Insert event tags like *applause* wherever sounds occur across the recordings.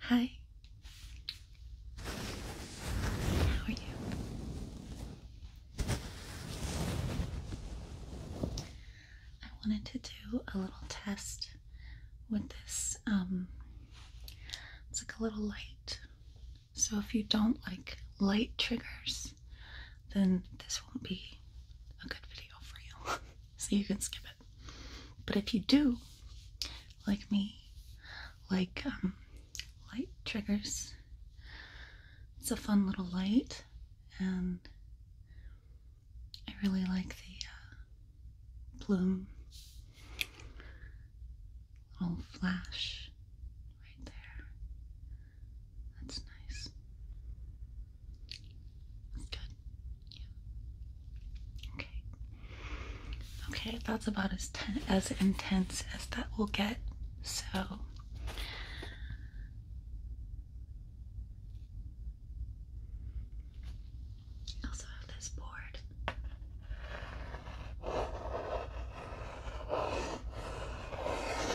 Hi. How are you? I wanted to do a little test with this. Um, it's like a little light. So if you don't like light triggers, then this won't be a good video for you. *laughs* so you can skip it. But if you do, like me, like um, light triggers, it's a fun little light, and I really like the uh, bloom little flash right there. That's nice. Okay. Okay, that's about as as intense as that will get. So I also have this board.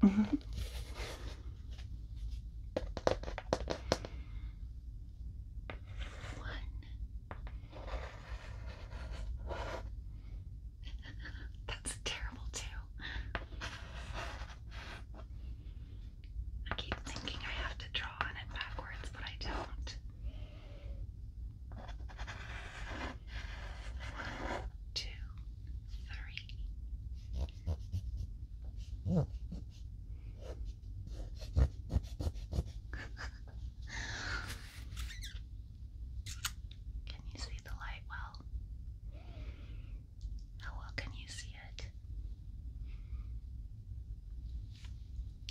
One. *laughs* That's terrible too. I keep thinking I have to draw on it backwards, but I don't two, three. *laughs* Can you see the light well? How well can you see it?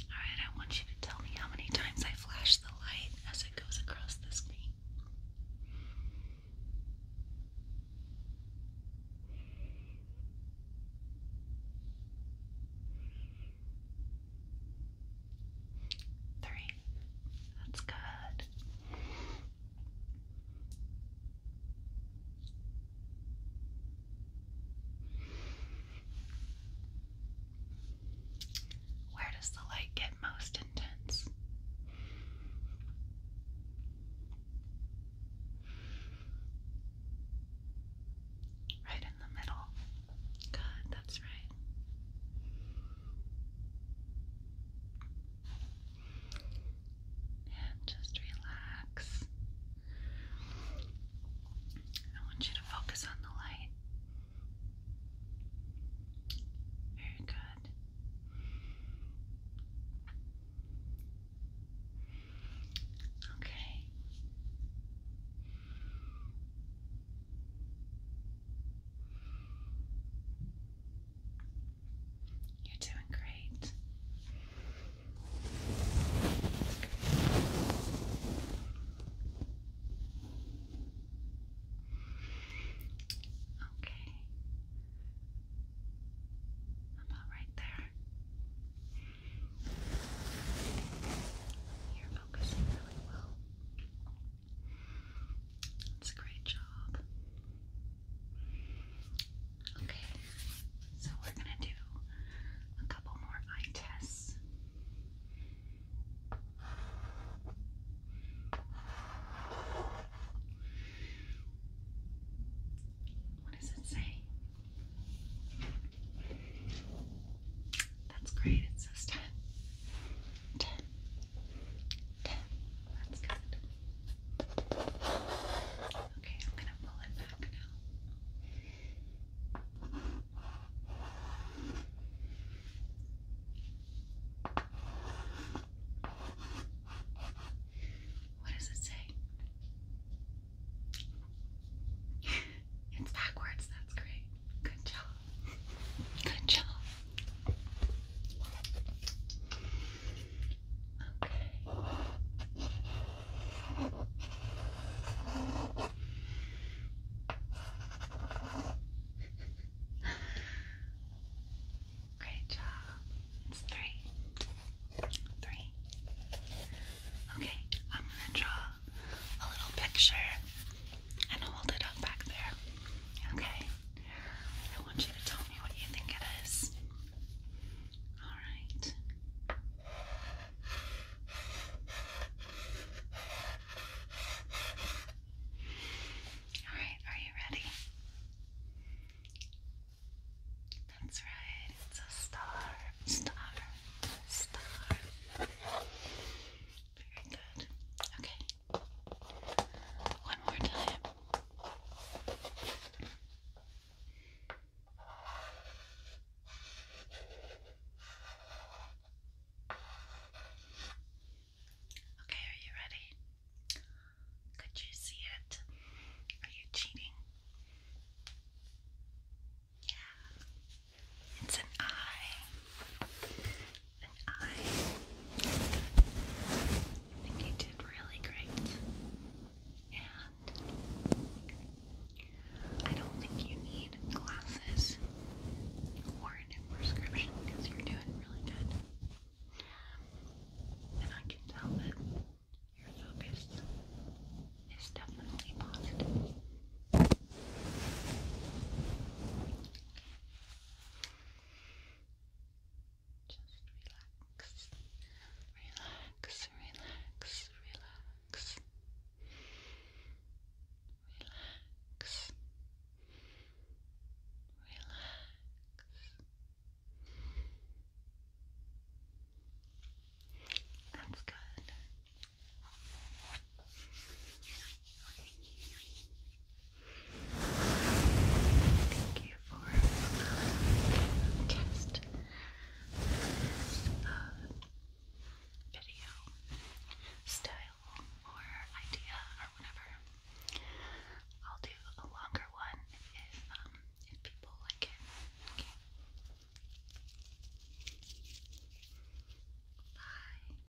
Alright, I want you to tell me how many times I flash the light as it goes across the screen. Three. That's good. Where does the light get most intense? Right in the middle. Good, that's right. And just relax. I want you to focus on the light. Very good. Okay. You're doing great. Okay. About right there. You're focusing really well. It's a great job. Okay, so we're going to do a couple more eye tests. What does it say? That's great, it says 10. That's good. Okay, I'm gonna pull it back now. What does it say? it's backwards, that's great. Good job. Good job. Great job. It's three. Three. Okay, I'm gonna draw a little picture and hold it up back there. Okay. I want you to tell me what you think it is. All right. All right, are you ready? That's right, it's a star, star, star. Very good. Okay. One more time. Okay, are you ready? Could you see it? Are you cheating? Yeah. It's an eye. I think you did really great. And I don't think you need glasses or a prescription because you're doing really good. And I can tell that your focus is definitely positive. Just relax, relax, relax, relax, relax, relax. That's good. Thank you for allowing guest uh, video style or idea or whatever. I'll do a longer one if um, if people like it. Okay. Bye.